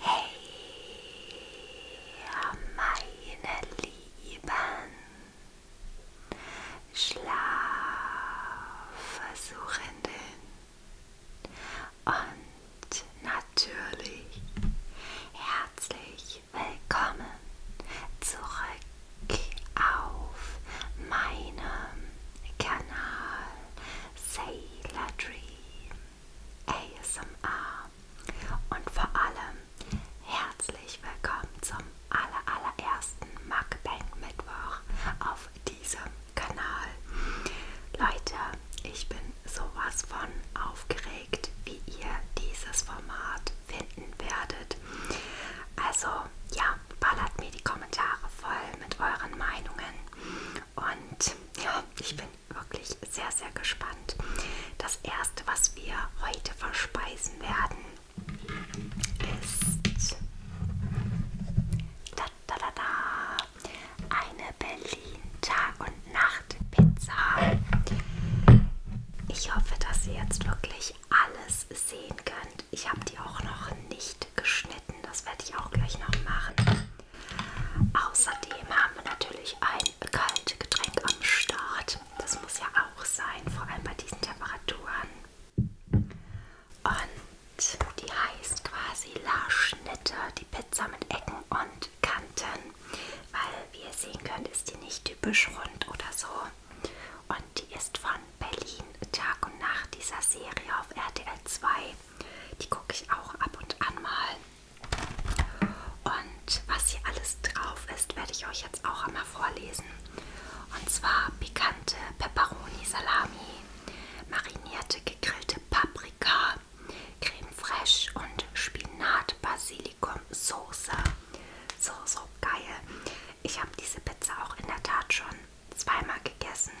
Hey, meine Lieben, Schlafversuchenden und natürlich herzlich willkommen zurück auf meinem Kanal Sailor Dream ASMR und vor allem herzlich willkommen zum aller allerersten Mukbang Mittwoch auf diesem Kanal. Leute, ich bin sowas von aufgeregt, wie ihr dieses Format finden werdet. Also ja, ballert mir die Kommentare voll mit euren Meinungen. Und ja, ich bin wirklich sehr, sehr gespannt. Das erste, was wir heute verspeisen werden, ist da, da, da, da, eine Berlin Tag und Nacht Pizza. Ich hoffe, dass sie jetzt wirklich wirklich alles sehen könnt. Ich habe die auch noch nicht geschnitten, das werde ich auch gleich noch machen. Außerdem haben wir natürlich ein kaltes Getränk am Start. Das muss ja auch sein, vor allem bei diesen Temperaturen. Und die heißt quasi La Schnitte, die Pizza mit Ecken und Kanten. Weil, wie ihr sehen könnt, ist die nicht typisch rund oder so, und die ist von Berlin Tag und Nacht dieser Serie auf RTL 2. Die gucke ich auch ab und an mal. Und was hier alles drauf ist, werde ich euch jetzt auch einmal vorlesen. Und zwar pikante Pepperoni-Salami, marinierte gegrillte Paprika, Creme fraiche und Spinat-Basilikum-Soße. So, so so geil. Ich habe diese Pizza auch in der Tat schon zweimal gegessen.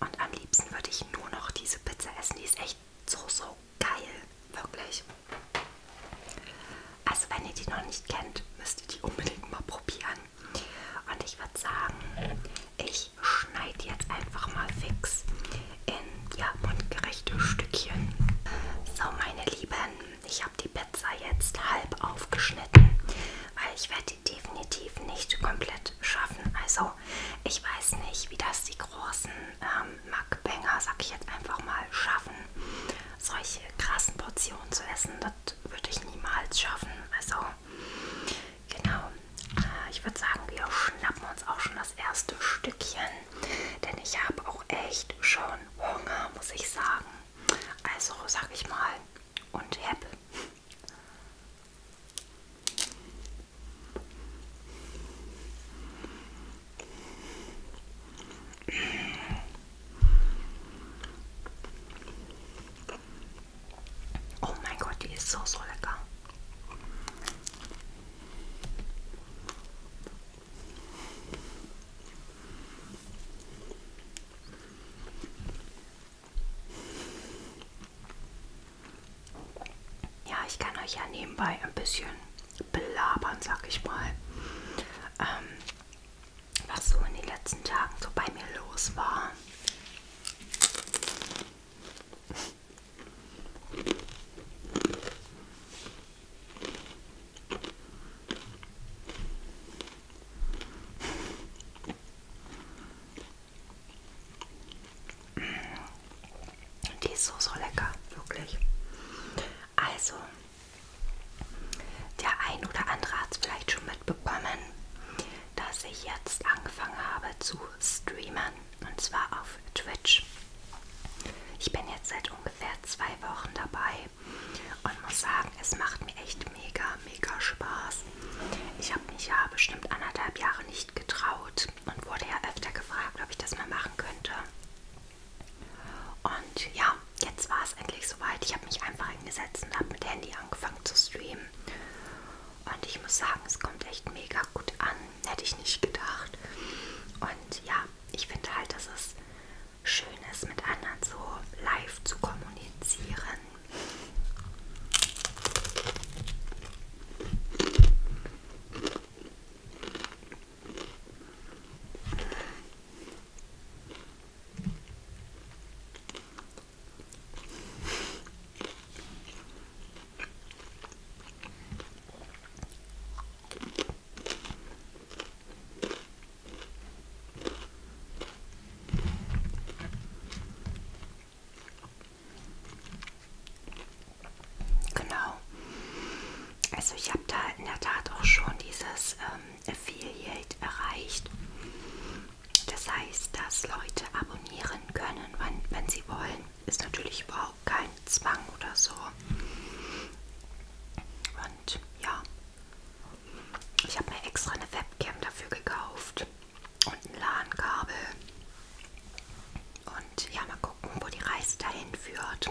Und am liebsten würde ich nur noch diese Pizza essen. Die ist echt so, so geil. Wirklich. Also wenn ihr die noch nicht kennt, müsst ihr die unbedingt mal probieren. Und ich würde sagen, ich schneide jetzt einfach mal fix in ja, mundgerechte Stückchen. So meine Lieben, ich habe die Pizza jetzt halb aufgeschnitten, weil ich werde die definitiv nicht komplett schaffen. Also ich weiß nicht, wie das die großen ähm, Mackbänger, sag ich jetzt einfach mal, schaffen. Solche krassen Portionen zu essen, das würde ich niemals schaffen. Also genau, äh, ich würde sagen, wir schnappen uns auch schon das erste Stückchen, denn ich habe auch echt schon Hunger, muss ich sagen. Also sag ich mal und happy. Oh mein Gott, die ist so, so lecker. Ja, ich kann euch ja nebenbei ein bisschen belabern, sag ich mal, ähm, was so in den letzten Tagen so bei mir los war. Die ist so, so lecker, wirklich. Also, der ein oder andere hat es vielleicht schon mitbekommen, dass ich jetzt angefangen habe zu streamen und zwar auf Twitch. Ich bin jetzt seit ungefähr zwei Wochen dabei und muss sagen, es macht mir echt mega, mega Spaß. Ich habe mich ja bestimmt anderthalb Jahre nicht getraut und wurde ja öfter gefragt, ob ich das mal machen könnte. Und ja, jetzt war es endlich soweit. Ich habe mich einfach hingesetzt und habe mit Handy angefangen zu streamen. Und ich muss sagen, es kommt echt mega mega gut an, hätte ich nicht gedacht. Und ja, ich finde halt, dass es schön ist, mit anderen so live zu kommunizieren. Genau. Also ich habe da in der Tat auch schon dieses ähm, Affiliate erreicht. Das heißt, dass Leute abonnieren können, wann, wenn sie wollen ist natürlich überhaupt kein Zwang oder so. Und ja, ich habe mir extra eine Webcam dafür gekauft und ein LAN-Kabel. Und ja, mal gucken, wo die Reise dahin führt.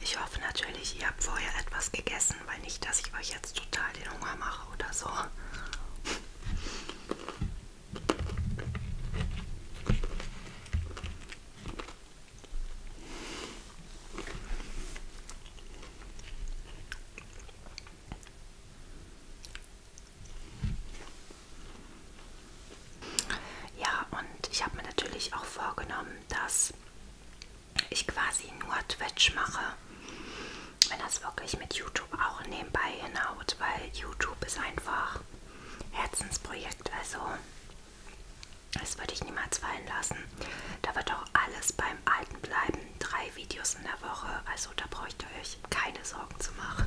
Ich hoffe natürlich, ihr habt vorher etwas gegessen, weil nicht, dass ich euch jetzt total den Hunger mache oder so. Ja, und ich habe mir natürlich auch vorgenommen, dass ich quasi nur Twitch mache, wenn das wirklich mit YouTube auch nebenbei hinhaut, weil YouTube ist einfach Herzensprojekt. Also das würde ich niemals fallen lassen. Da wird auch alles beim Alten bleiben. Drei Videos in der Woche. Also da braucht ihr euch keine Sorgen zu machen.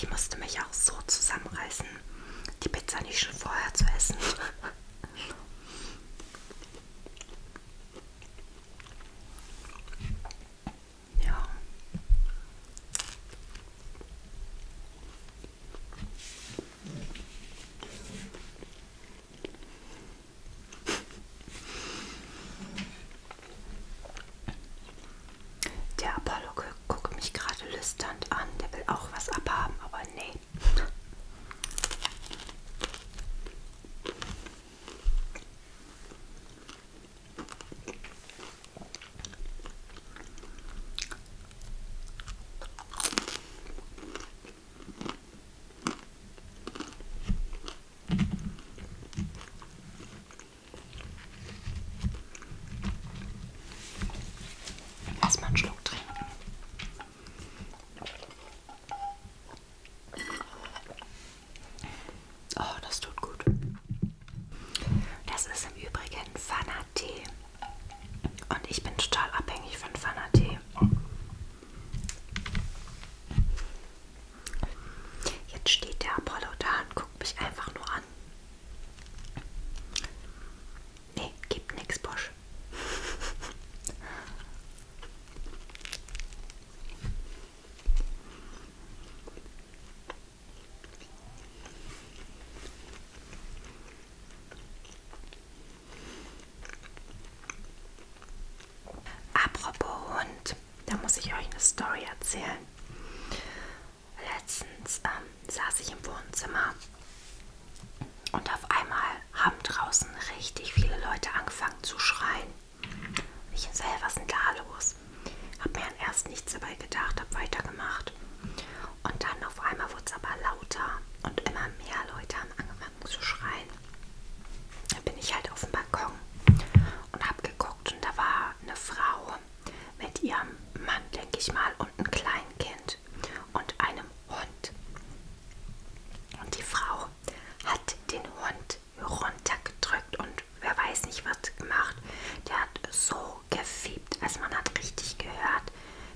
Ich musste mich auch so zusammenreißen, die Pizza nicht schon vorher zu essen. ja. Der Apollo guckt mich gerade lüsternd an. Der will auch was abhaben, aber nee. Erstmal einen Schluck trinken. Oh, das tut gut. Das ist im Übrigen Fana-Tee. Und ich bin total abhängig von Fana-Tee. Jetzt steht der Apollo da und guckt mich einfach nur an. Nee, gibt nix, Bosch. Apropos Hund, da muss ich euch eine Story erzählen. Letztens ähm, saß ich im Wohnzimmer und auf einmal haben draußen richtig viele Leute angefangen zu schreien. Ich selber, was ist denn da los? was. Hab mir erst nichts dabei gedacht, hab weitergemacht. Und dann auf einmal wurde es aber lauter und immer mehr Leute haben angefangen zu schreien. Dann bin ich halt auf dem Balkon und hab geguckt und da war eine Frau mit ihrem Mann, denke ich mal, und einem Kleinkind und einem Hund. Und die Frau hat den Hund runtergedrückt und wer weiß nicht was gemacht. Der hat so gefiebt, also man hat richtig gehört,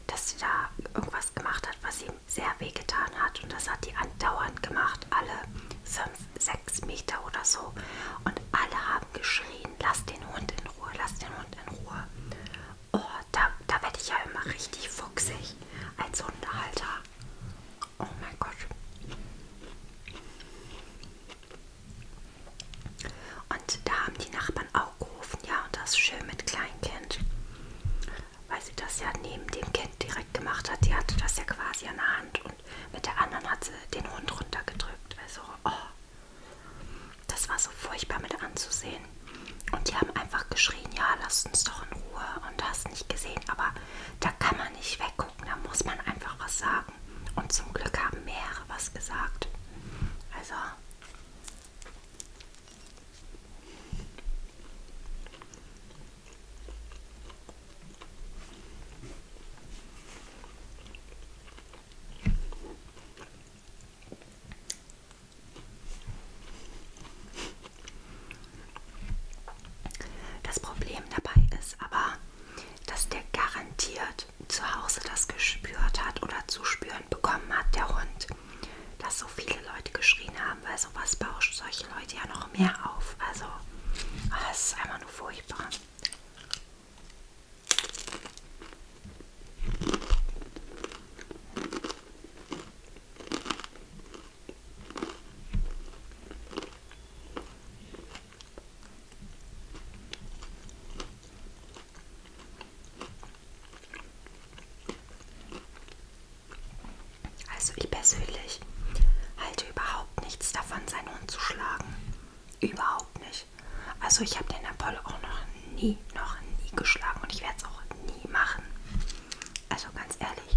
dass sie da irgendwas gemacht hat, was ihm sehr wehgetan hat. Und das hat die andauernd gemacht, alle fünf, sechs Meter oder so. Und alle haben geschrien, lass den Hund in Ruhe, lass den Hund in Ruhe. Oh, da, da werde ich ja immer richtig fuchsig als Hundehalter. Oh mein Gott. Und da haben die Nachbarn auch gerufen, ja, und das schön mit Kleinkind. Weil sie das ja neben dem Kind direkt gemacht hat. Die hatte das ja quasi an der Hand und mit der anderen hat sie den Hund runtergedrückt. Also, oh, das war so furchtbar mit anzusehen. Und die haben einfach geschrien, ja, lasst uns doch in Ruhe und hast nicht gesehen. Aber da kann man nicht weggucken, da muss man einfach was sagen sagen. Und zum Glück haben mehrere was gesagt. Also. Das Problem dabei ist aber, dass der garantiert zu Hause das gespürt hat oder zu spüren bekommen hat, der Hund, dass so viele Leute geschrien haben, weil sowas bauscht solche Leute ja noch mehr auf. Also, ah, es ist einfach nur furchtbar. Also ich persönlich halte überhaupt nichts davon, seinen Hund zu schlagen. Überhaupt nicht. Also ich habe den Apollo auch noch nie, noch nie geschlagen und ich werde es auch nie machen. Also ganz ehrlich.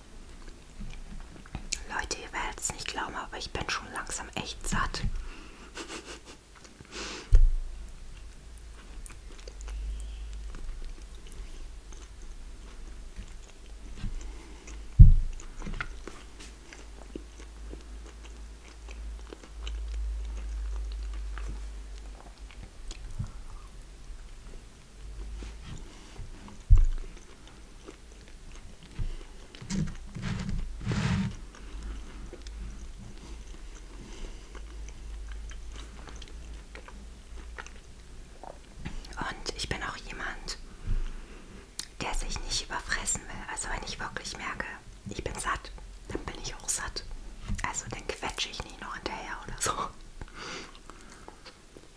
Leute, ihr werdet es nicht glauben, aber ich bin schon langsam echt satt. Und ich bin auch jemand, der sich nicht überfressen will. Also wenn ich wirklich merke, ich bin satt, dann bin ich auch satt. Also dann quetsche ich nicht noch hinterher oder so.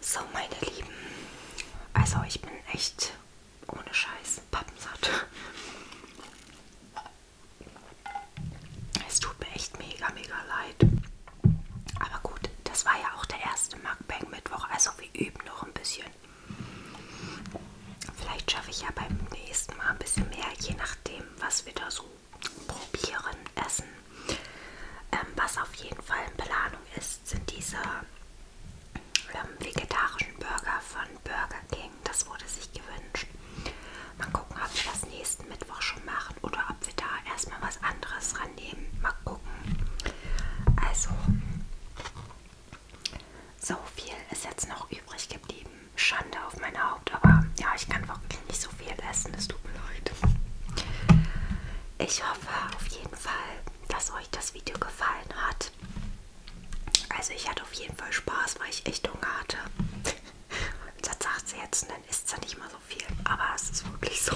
So, meine Lieben, also ich bin echt ohne Scheiß pappensatt. Es tut mir echt mega, mega leid. Aber gut, das war ja auch der erste Mukbang-Mittwoch, also wir üben noch ein bisschen. Vielleicht schaffe ich ja beim nächsten Mal ein bisschen mehr, je nachdem, was wir da so probieren, essen. Ähm, was auf jeden Fall in Planung ist, sind diese ähm, vegetarischen Burger von Burger King. Das wurde sich gewünscht. Mal gucken, ob wir das nächsten Mittwoch schon machen oder ob wir da erstmal was anderes rannehmen. Mal gucken. Also, so viel ist jetzt noch übrig geblieben. Schande auf mein Haupt, aber ja, ich kann wirklich nicht so viel essen. Es tut mir leid. Ich hoffe auf jeden Fall, dass euch das Video gefallen hat. Also ich hatte auf jeden Fall Spaß, weil ich echt Hunger hatte. Das sagt sie jetzt und dann ist es ja nicht mal so viel. Aber es ist wirklich so.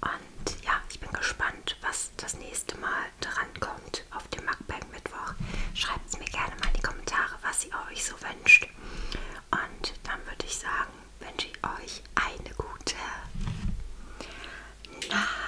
Und ja, ich bin gespannt, was das das nächste Mal dran kommt auf dem Mukbang Mittwoch. Schreibt mir gerne mal in die Kommentare, was ihr euch so wünscht. Und dann würde ich sagen, wünsche ich euch eine gute Nacht.